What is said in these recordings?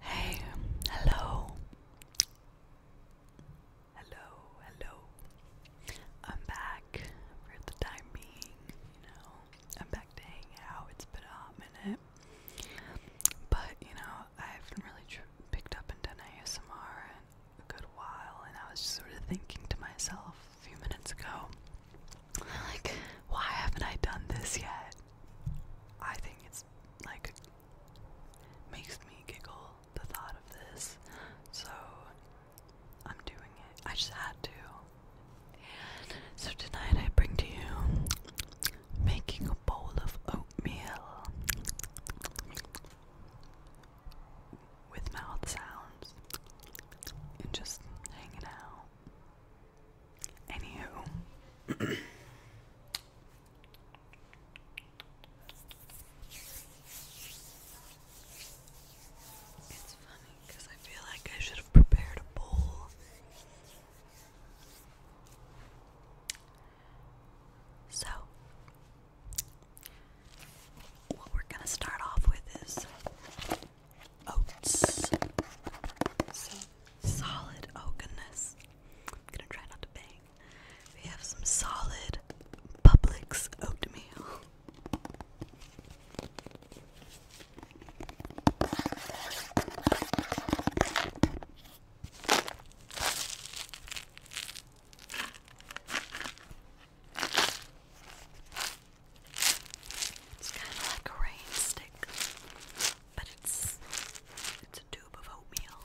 Hey, hello. Hello, hello. I'm back for the time being, you know. I'm back to hang out. It's been a hot minute. But, you know, I haven't really picked up and done ASMR in a good while, and I was just sort of thinking to myself, few minutes ago. Like, why haven't I done this yet? I think it's like makes me giggle the thought of this. So I'm doing it. I just had to. And so tonight I bring to you making a bowl of oatmeal with mouth sounds and just hanging out. Anywho. It's funny because I feel like I should have prepared a bowl. So, what we're going to start off with is oats. So solid. Oh goodness. gonna try not to bang. We have some solid Publix oatmeal. It's kind of like a rainstick, but it's it's a tube of oatmeal.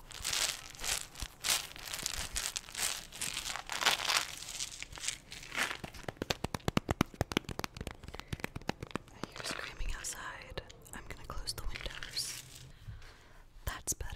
I hear screaming outside. I'm gonna close the windows. That's better.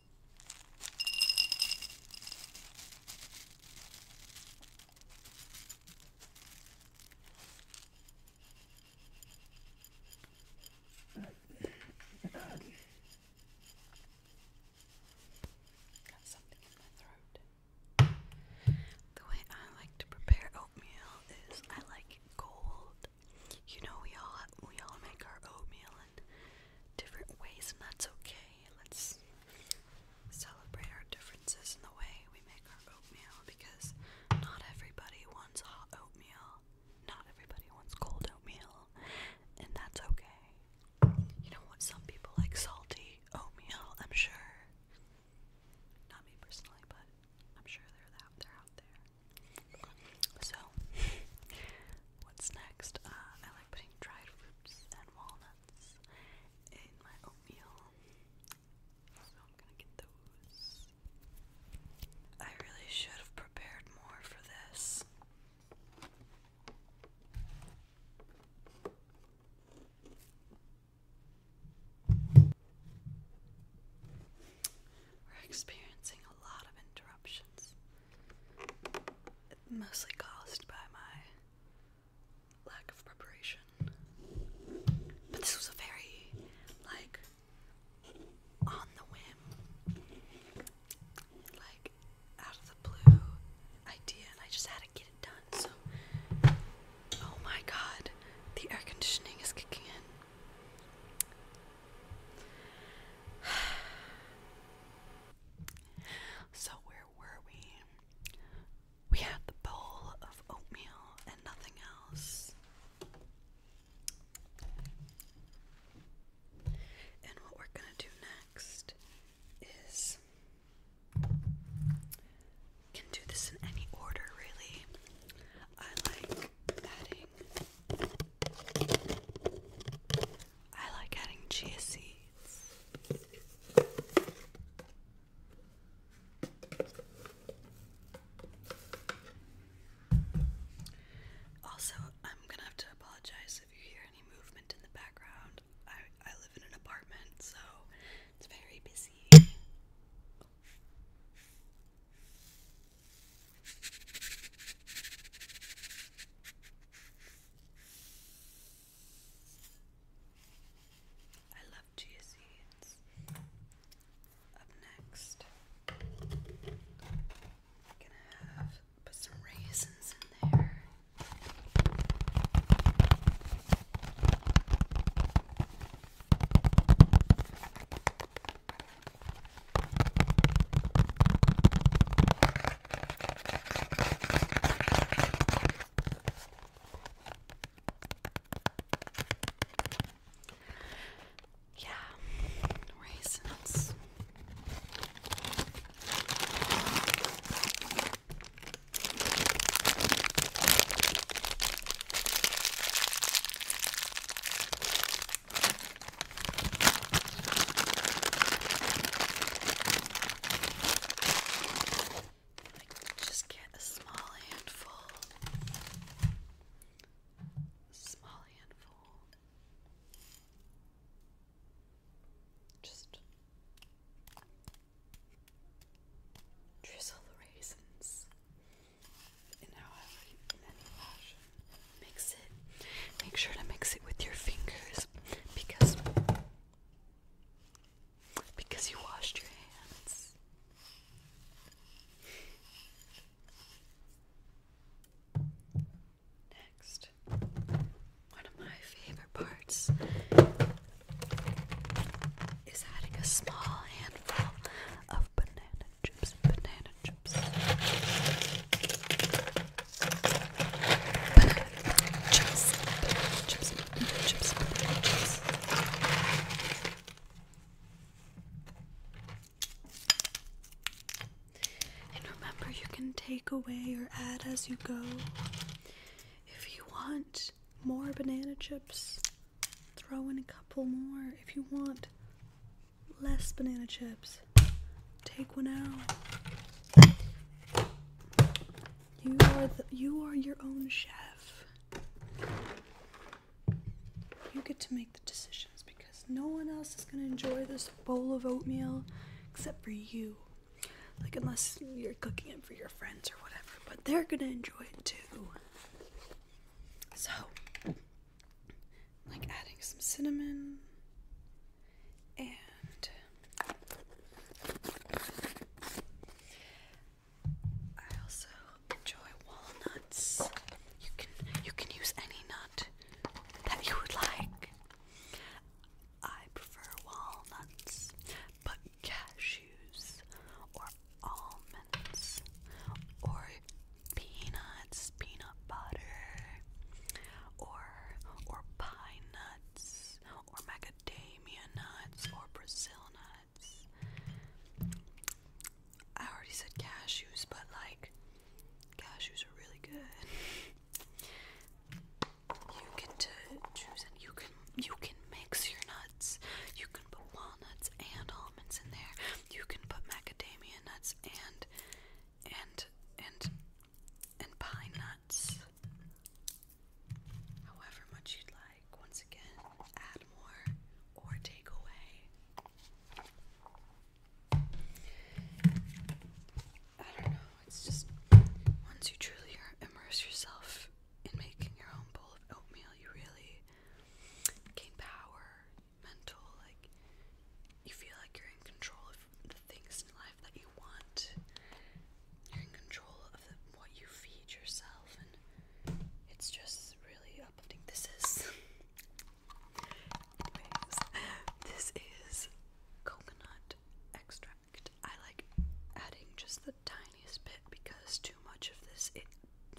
Got The way I like to prepare oatmeal is I like cold. You know we all we all make our oatmeal different ways, and that's okay. Let's celebrate our differences in the way we make our oatmeal because not everybody wants hot oatmeal, not everybody wants cold oatmeal, and that's okay. You know what? Some people like salty oatmeal, I'm sure. Not me personally, but I'm sure they're they're out there. So What's next? Uh, I like putting dried fruits and walnuts in my oatmeal, I'm gonna get those. I really should have prepared more for this. We're experiencing a lot of interruptions mostly caused by my lack of preparation. But this was a very, like, on the whim, like, out of the blue idea, and I just had to get it done. So, oh my god, the air conditioning is kicking in. So, where were we? We had the bowl of oatmeal and nothing else. And what we're going to do next is. Can do this in any order, really. I like adding I like adding chia seeds. Also, I'm gonna have to apologize if you hear any movement in the background. I, I live in an apartment, so it's very busy. I love chia seeds. Up next, gonna have put some raisins in there. Yeah, raisins just get a small handful. Small handful. Just drizzle the raisins in however many mix it. Make sure to mix it with your fingers because because you washed your hands. Next, one of my favorite parts is adding a small handful of banana chips. Banana chips. And remember, you can take away or add as you go. If you want more banana chips, throw in a couple more. If you want less banana chips, take one out. You are the, you are your own chef. You get to make the decisions because no one else is gonna enjoy this bowl of oatmeal except for you. Like unless you're cooking it for your friends or whatever, but they're gonna enjoy it too. So, like adding some cinnamon and I also enjoy walnuts. You can you can use any nut that you would like. I prefer walnuts, but cashews or almonds or peanuts, peanut butter or or pine or macadamia nuts, or Brazil nuts. I already said cashews, but like, cashews are really good. You get choose, and you can you can mix your nuts. You can put walnuts and almonds in there. You can put macadamia nuts and and and and pine nuts. However much you'd like. Once again, add more or take away. I don't know, it's just once you truly immerse yourself in making your own bowl of oatmeal, you really gain power, mental, like you feel like you're in control things in life that you want. You're in control of the, what you feed yourself, and it's just really uplifting. This is, anyways, this is coconut extract. I like adding just the tiniest bit because too much of this it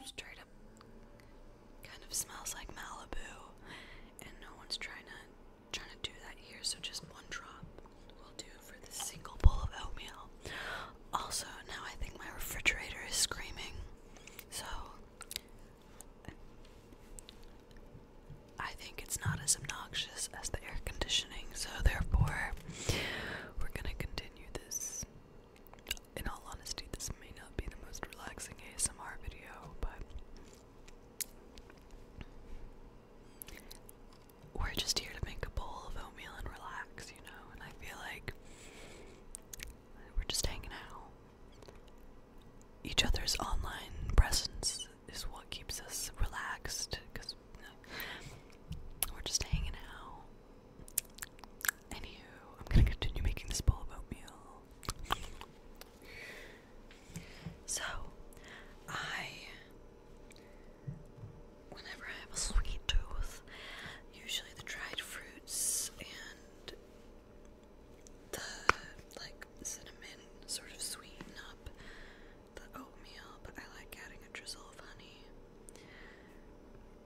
straight up kind of smells like Malibu, and no one's trying to trying to do that here, so just one drop will do for this single bowl of oatmeal. Also, now I think my refrigerator is screaming, so I think it's not as obnoxious as the air conditioning, so therefore, we're gonna continue this. In all honesty, this may not be the most relaxing ASMR video, but we're just here to make a bowl of oatmeal and relax, you know, and I feel like we're just hanging out. Each other's online presence is what keeps us relaxed because we're just hanging out. Anywho, I'm gonna continue making this bowl of oatmeal. So, I, whenever I have a sweet tooth, usually the dried fruits and the like cinnamon sort of sweeten up the oatmeal, but I like adding a drizzle of honey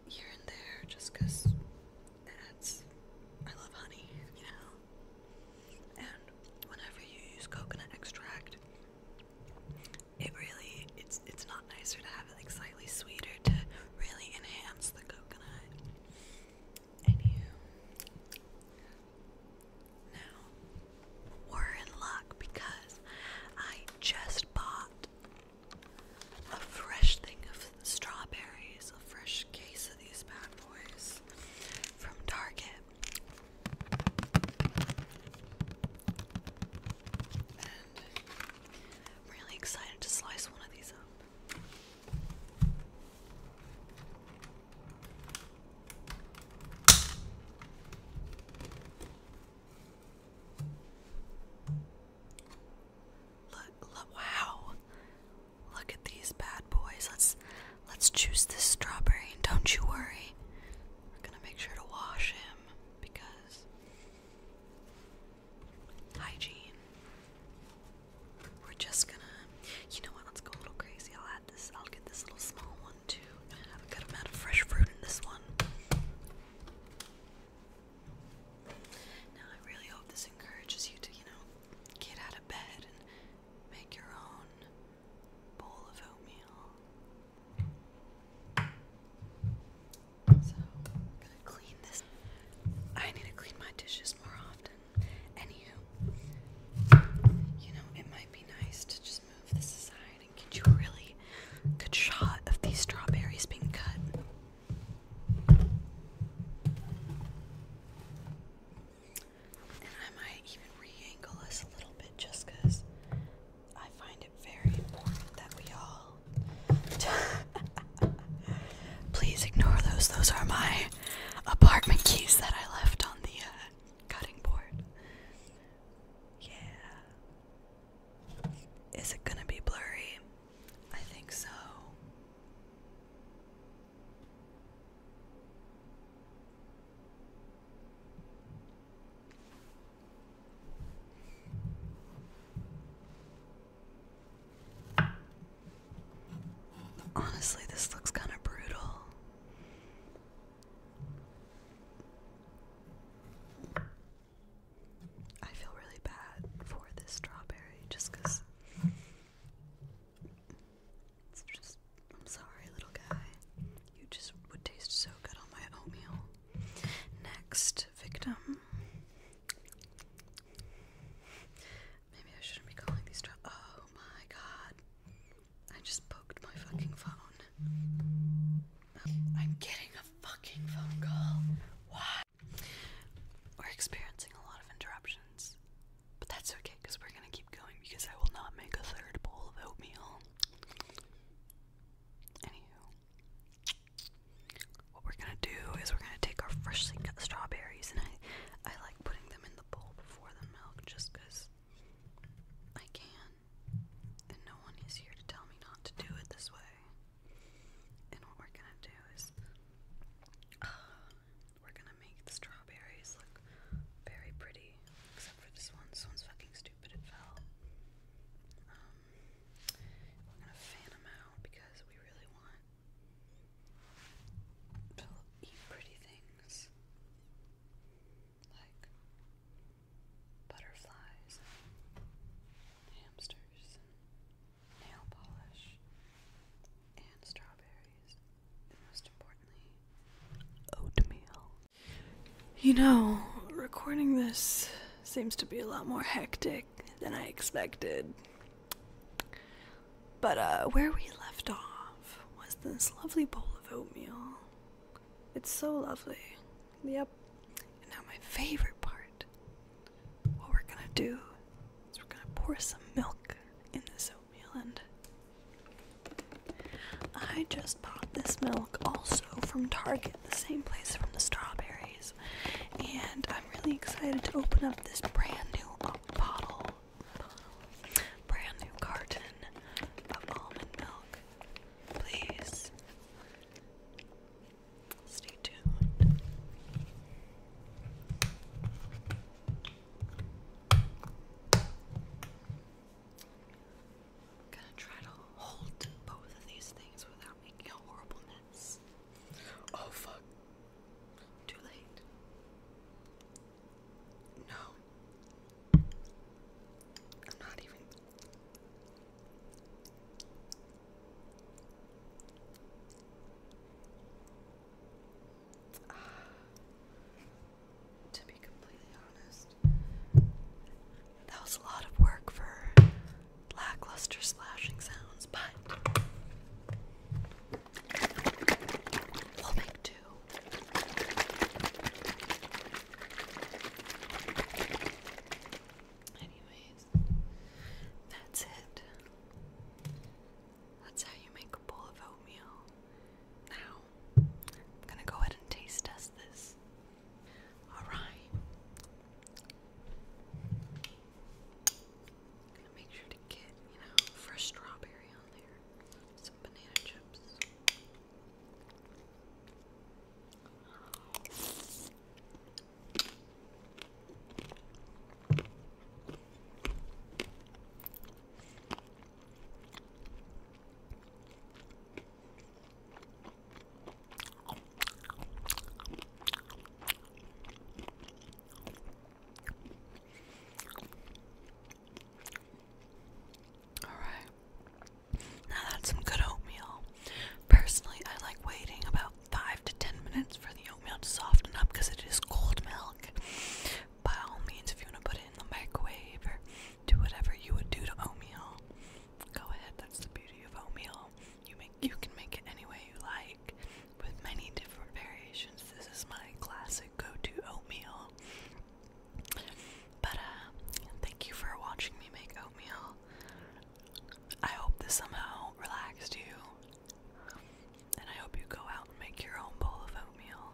here and there just it adds. I love honey, you know. And whenever you use coconut extract, it really it's it's not nicer to have it slightly sweeter to really enhance the coconut. And you now we're in luck because I just bought a fresh thing of strawberries, a fresh case of these bad boys from Target I'm really excited to slice one of these up. look, wow. Look at these bad boys. Let's Let's choose this strawberry, and don't you worry. We're gonna make sure to wash him because hygiene. We're just gonna, you know what? Let's go a little crazy. I'll add this. I'll get this little small one too. have a good amount of fresh fruit in this one. Now I really hope this encourages you to, you know, get out of bed and make your own bowl of oatmeal. So i to clean this. I need to clean my dishes more often. Anywho, you know, it might be nice to just move this aside and get a really good shot of these strawberries being cut. I might even re us a little bit just I find it very important that we all please ignore those. Those are my apartment keys that I left on the uh, cutting board. Yeah. Is it gonna be blurry? I think so. Honestly, this looks kind of brutal. I feel really bad for this strawberry just it's just, I'm sorry, little guy. You just would taste so good on my oatmeal. Next victim. Maybe I shouldn't be calling these. oh my god. I just poked my fucking phone. I'm getting a fucking phone call. Why? We're experiencing a lot of interruptions, but that's okay because we're gonna keep going because I will not make a third bowl of oatmeal. Anywho, what we're gonna do is we're gonna take our freshly cut strawberries, and I, I like putting them in the bowl before the milk just I can, and no one is here to tell me not to do it this way. And what we're gonna do is uh, we're gonna make the strawberries look very pretty for this one. This one's fucking stupid. It fell. we're gonna fan them out because we really want to eat pretty things like butterflies, hamsters, nail polish, and strawberries, and most importantly, oatmeal. You know, recording this seems to be a lot more hectic than I expected. But uh, where we left off was this lovely bowl of oatmeal. It's so lovely. Yep. And now, my favorite part what we're gonna do is we're gonna pour some milk in this oatmeal and I just bought this milk also from Target, the same place from the strawberries, and I'm really excited to open up this brand new bottle, brand new carton of almond milk. Please stay tuned gonna try to hold both of these things without making a horrible mess. Oh fuck. Too late. No. I'm not even. Uh, to be completely honest. That was a lot of work for lackluster slashing sounds, but we'll make two. Anyways, that's it. That's how you make a bowl of oatmeal. Now I'm gonna go ahead and taste test this. Alright. Gonna make sure to get, you know, fresh strawberry on there. Some banana chips. Alright. Now that's some good oatmeal. Personally, I like waiting about 5 to 10 minutes for the oatmeal to soften up because it is cold milk. By all means, if you want to put it in the microwave do whatever you would do to oatmeal. Go ahead, that's the beauty of oatmeal. You make you can make it any way you like with many different variations. This is my classic go-to oatmeal. But uh, thank you for watching me make oatmeal. I hope this somehow relaxed you. And I hope you go out and make your own bowl of oatmeal.